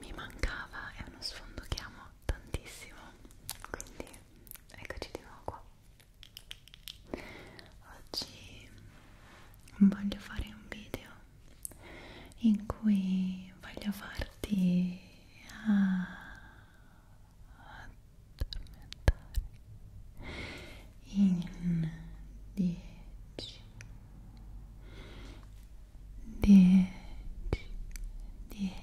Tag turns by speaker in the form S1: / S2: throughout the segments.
S1: mi mancava è uno sfondo che amo tantissimo quindi eccoci di nuovo qua oggi voglio fare un video in cui voglio farti addormentare in 10 dieci, dieci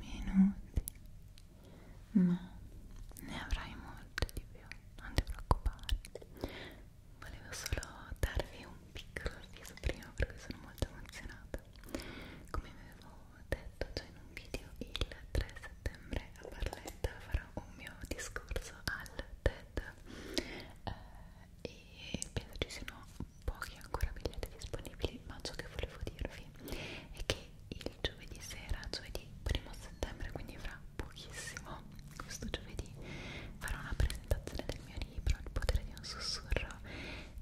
S1: minuti ma ne avrai molto di più non ti preoccupare volevo solo darvi un piccolo avviso prima perché sono molto emozionata come vi avevo detto già in un video il 3 settembre a Barletta farò un mio discorso al TED eh, e penso ci siano pochi ancora biglietti disponibili ma ciò che volevo dirvi è che il giovedì sera, giovedì 1 settembre, quindi fra pochissimo questo giovedì farò una presentazione del mio libro Il potere di un sussurro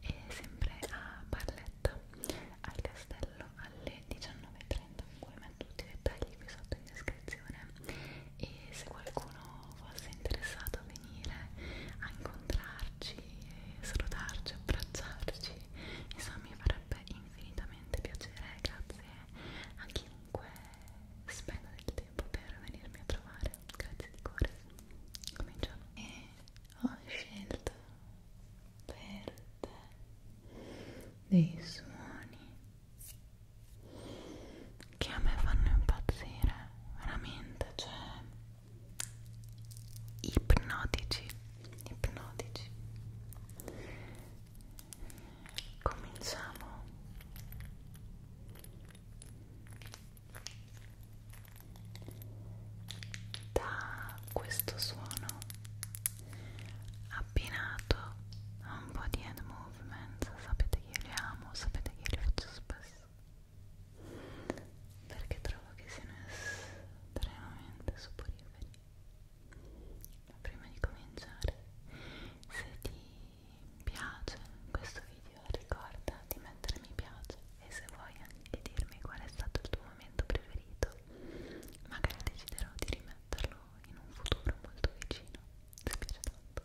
S1: e sempre a Barletta al castello alle alle 19.30 comunque metto tutti i dettagli qui sotto in descrizione e se qualcuno fosse interessato a venire a incontrarci salutarci, abbracciarci insomma mi farebbe infinitamente piacere grazie a chiunque spenda del tempo per venirmi a trovare grazie di cuore cominciamo e ho scelto per te dei suoni che a me fanno impazzire veramente cioè ipnotici ipnotici cominciamo da questo suono abbinato a un po' di Edmund movement sapete che io li amo sapete che io li faccio spesso perché trovo che siano estremamente soporiferi ma prima di cominciare se ti piace questo video ricorda di mettere mi piace e se vuoi anche dirmi qual è stato il tuo momento preferito magari deciderò di rimettere metterlo in un futuro molto vicino mi dispiace tanto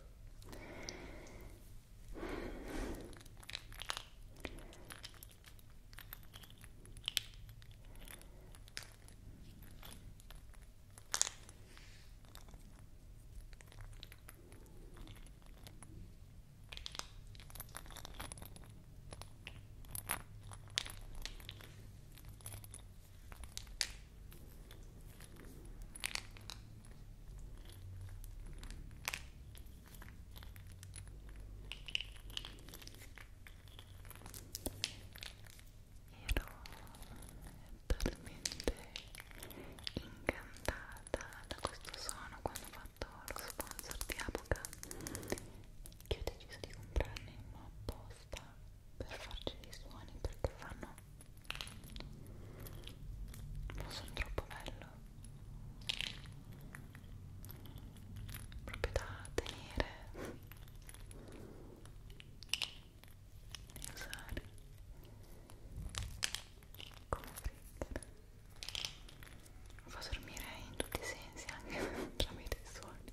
S1: talmente incantata da questo suono quando ho fatto lo sponsor di Apoca che ho deciso di comprarne uno apposta questa per farci dei suoni perché fanno non sono troppo bello proprio da tenere e usare come trigger lo fa dormire in tutti i sensi anche tramite i suoni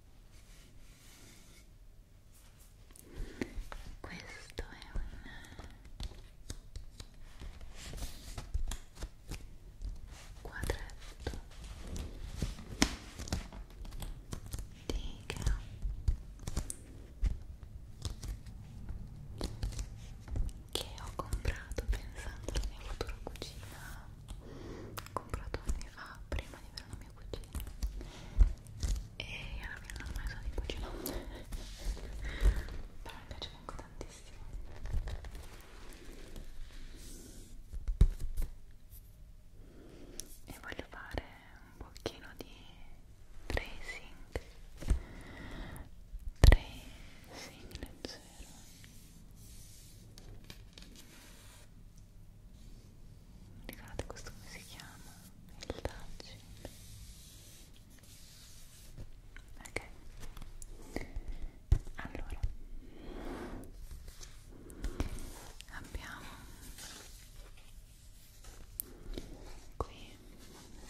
S1: questo è un quadretto di Ikea che ho comprato pensando alla mia futura cucina ho comprato anni fa prima di averla mia cugina e alla fine non ho mai usato i cucinoni però mi piace comunque tantissimo e voglio fare un pochino di tracing tracing leggero Ricordate questo come si chiama? Il touch Ok Allora Abbiamo qui un bel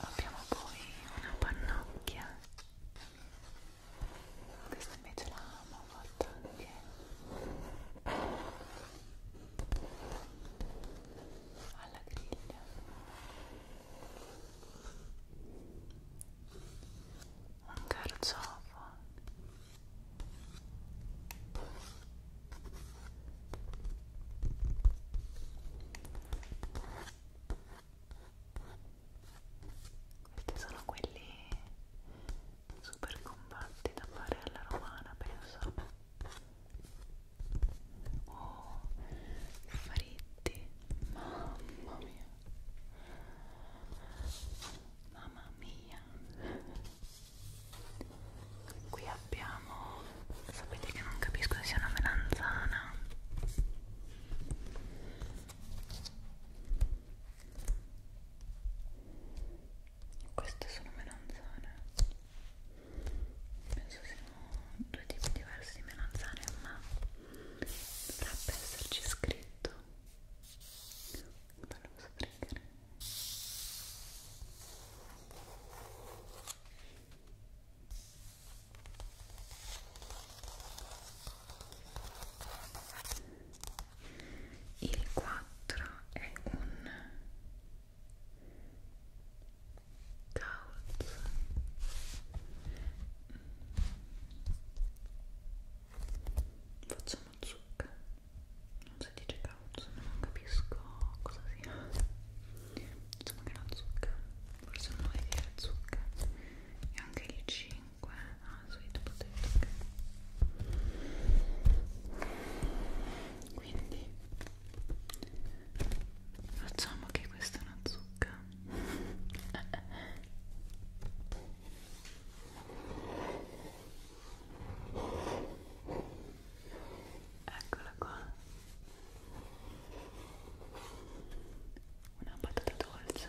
S1: abbiamo poi una pannocchia questa invece l'amo fatta anche alla griglia un carciofo questi sono quelli super compatti da fare alla romana, penso. Oh, fritti, mamma mia. Mamma mia. Qui abbiamo Sapete che non capisco se sia una melanzana. Queste sono melanzane. Penso siano due tipi diversi di melanzane, ma dovrebbe esserci scritto. Bello questo trigger. Il 4 è un couch facciamo zucca non si dice couch non capisco cosa sia diciamo che è una zucca forse un 9 di zucca e anche il 5 ah, sweet potato quindi facciamo che questa è una zucca eccola qua una patata dolce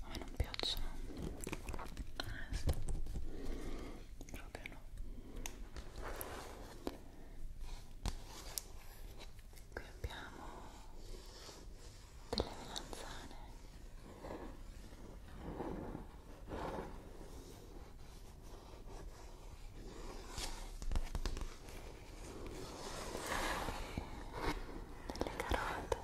S1: a me non piacciono onesto proprio no qui abbiamo delle melanzane delle carote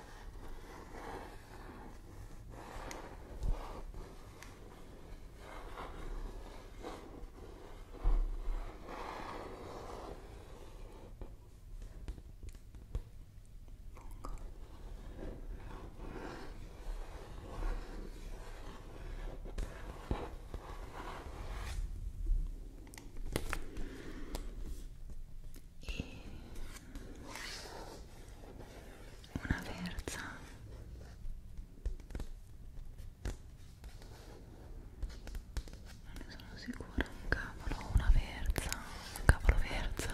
S1: fungo e una verza non ne sono sicura un cavolo una verza un cavolo verza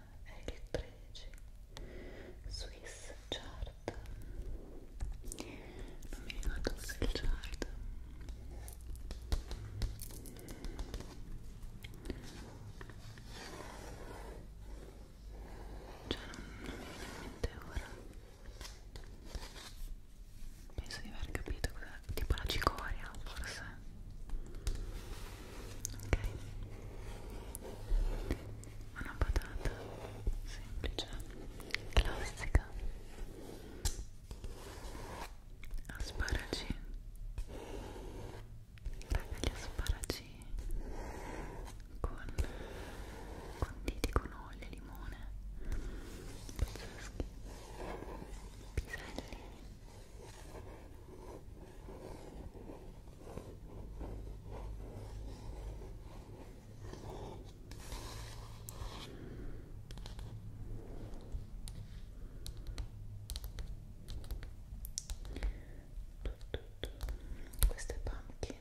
S1: è il 13 Swiss Chart non mi ricordo se è il Chart cioè non, non mi viene in mente ora penso di aver capito cos'è tipo la cicoria forse ok una patata semplice classica asparagi raga gli asparagi con conditi con olio e limone pazzeschi piselli queste pumpkin,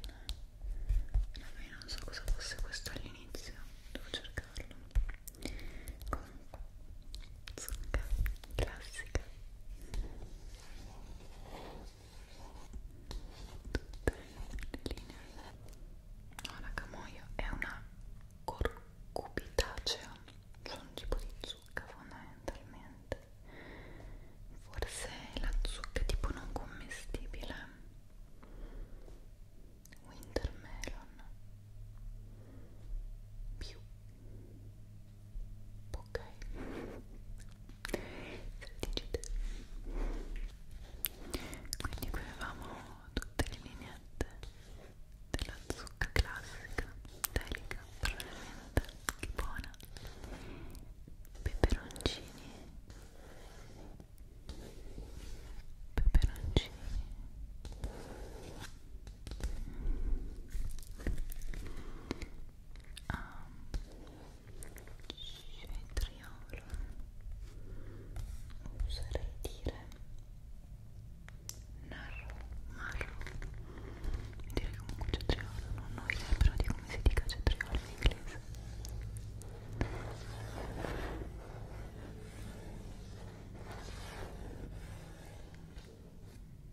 S1: io non so cosa fosse questo all'inizio, devo cercarlo. Comunque, zucca classica tutte le linee no la camoia è una corcubitacea cioè un tipo di zucca fondamentalmente forse la zucca tipo non commestibile wintermelon più ok digite quindi qui avevamo tutte le lineette della zucca classica delica probabilmente che buona peperoncini peperoncini Um, cetriolo oserei dire narro, marro mi direi comunque cetriolo non ho idea però di come si dica cetriolo in inglese Cetriolo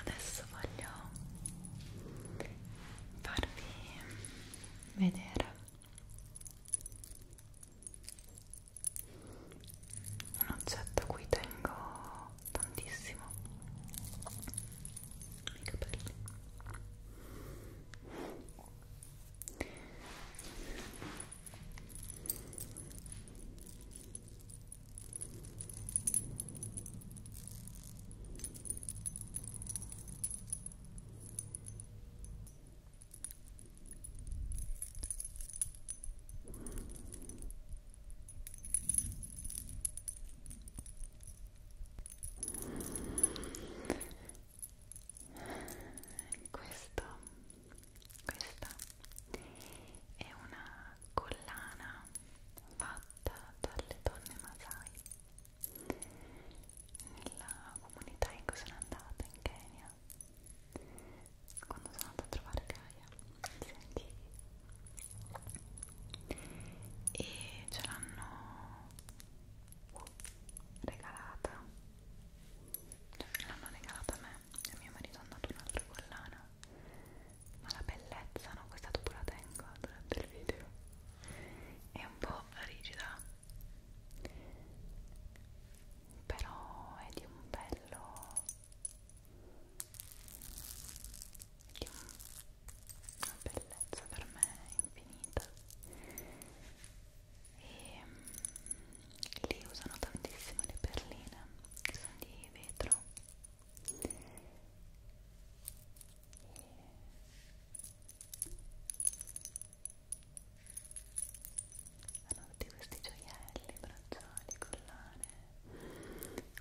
S1: adesso voglio farvi vedere un oggetto a cui tengo tantissimo i capelli questo questa è una collana fatta dalle donne Masai nella comunità in cui sono andata in Kenya quando sono andata a trovare Gaia senti e ce l'hanno uh, regalata cioè l'hanno regalata a me e mio marito ha dato un'altra collana ma la bellezza, no? Questa dopo la tengo durante il video. È un po' rigida, però è di un bello. di un... una bellezza per me infinita. E lì usano tantissimo le perline che sono di vetro e hanno tutti questi gioielli, bracciali, collane,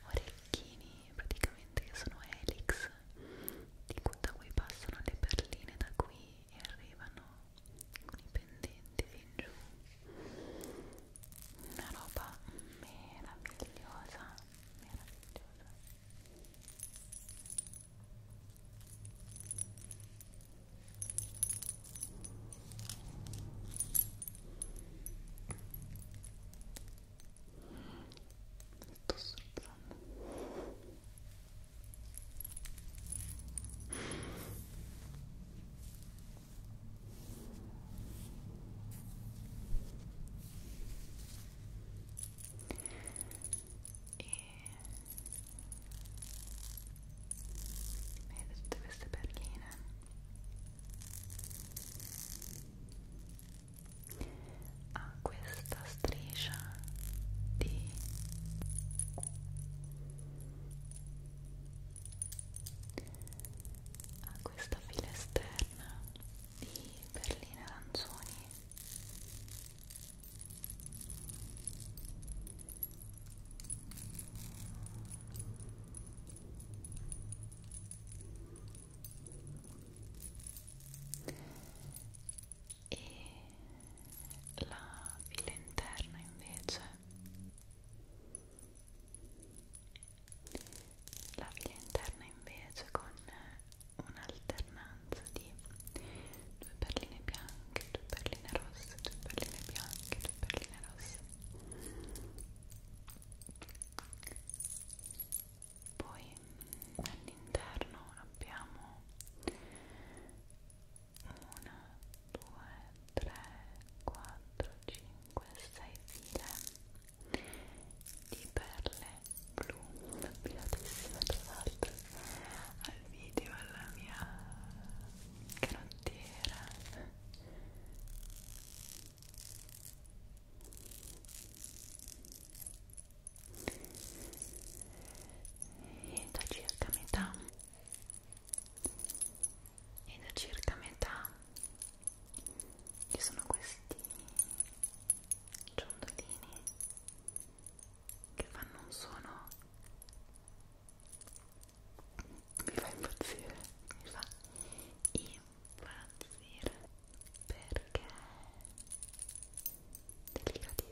S1: orecchini praticamente che sono helix da cui passano le perline da qui e arrivano con i pendenti fin giù una roba meravigliosa meravigliosa sto strozzando e vedete tutte queste perline ha ah, questa striscia di a questa fila esterna di perline arancioni e la fila interna invece la via interna invece con un'alternanza di due perline bianche, due perline rosse, due perline bianche, due perline rosse poi all'interno abbiamo una 2, 3, 4, 5, 6 file di perle blu abbinatissime tra l'altro al video alla mia canottiera e da circa metà e da circa metà ci sono questi ciondolini che fanno un suono mi fa impazzire mi fa impazzire perché è delicatissimo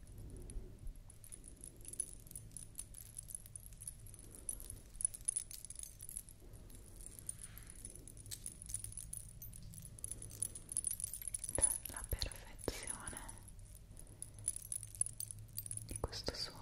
S1: la perfezione di questo suono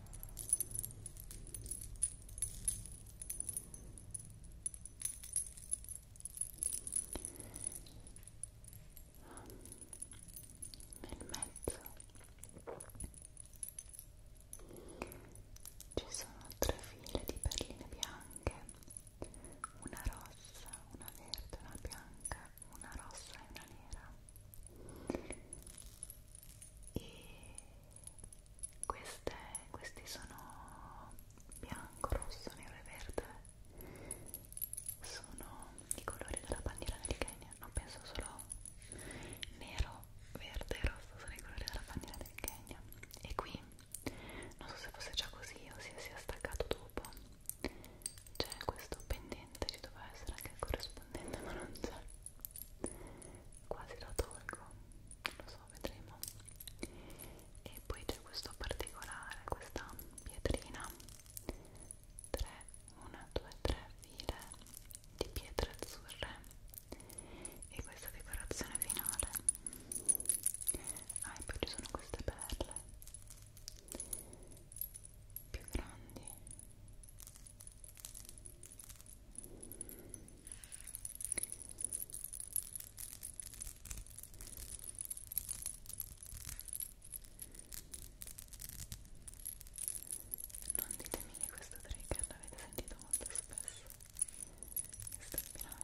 S1: nel mezzo ci sono tre file di perline bianche una rossa, una verde, una bianca una rossa e una nera e queste, questi sono bianco, rosso, nero e verde sono i colori della bandiera del Kenya non penso solo nero, verde e rosso sono i colori della bandiera del Kenya e qui, non so se fosse già così o se sia staccato dopo c'è questo pendente ci doveva essere anche il corrispondente ma non c'è quasi la tolgo lo so vedremo e poi c'è questo particolare questa pietrina 3 1 2 3 file di pietre azzurre e questa decorazione finale ah e poi ci sono queste perle più grandi non ditemi che questo trigger l'avete sentito molto spesso in stampinamento Ora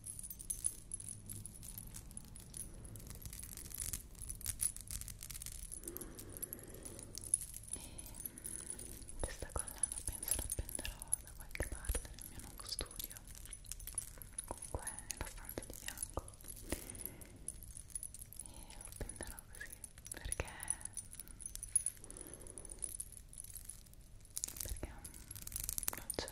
S1: E ehm, questa collana penso la appenderò da qualche parte nel mio nuovo studio comunque nella stanza di fianco e la appenderò così perché perché non c'è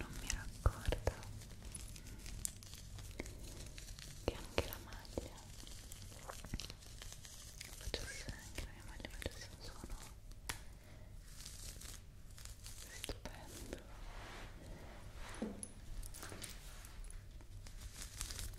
S1: Non mi raccordo che anche la maglia facesse anche la mia maglia facesse un suono stupendo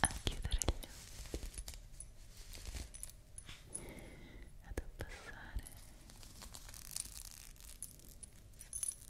S1: a chiudere gli occhi ad abbassare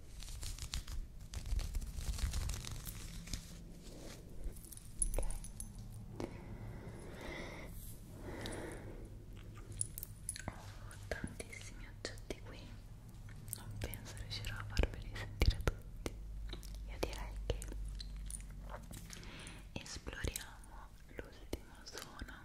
S1: Ho tantissimi oggetti qui, non penso riuscirò a farveli sentire tutti. Io direi che esploriamo l'ultima zona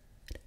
S1: Addormentare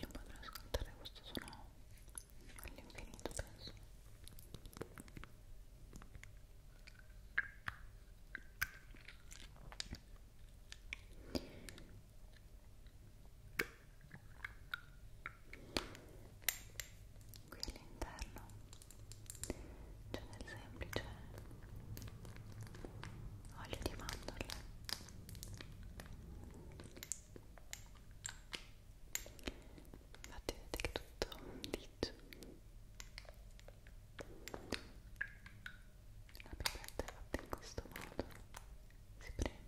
S1: Io potrei ascoltare questo suono all'infinito, penso. Qui all'interno c'è del semplice olio di mandorle infatti vedete che tutto dice la pipetta è fatta in questo modo si preme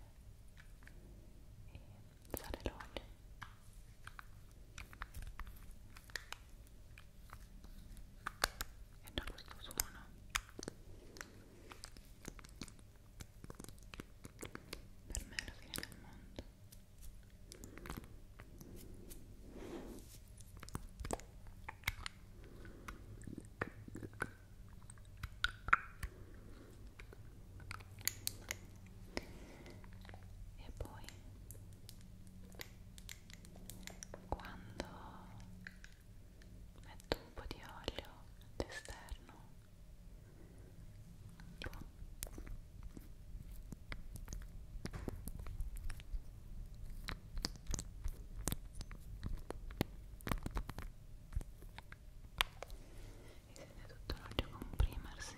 S1: e sale l'olio e da questo suono per me è la fine del mondo e poi quando metto un po' di olio all'esterno si sente tutto l'olio comprimersi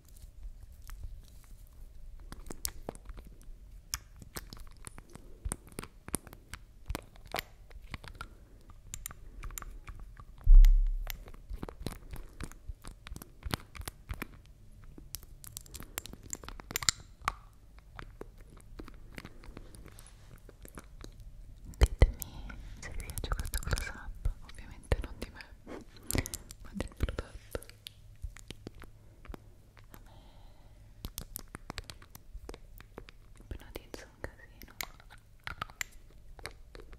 S1: Ditemi se vi piace questo close up, ovviamente non di me, ma del prodotto ipnotizza un casino guardate che bello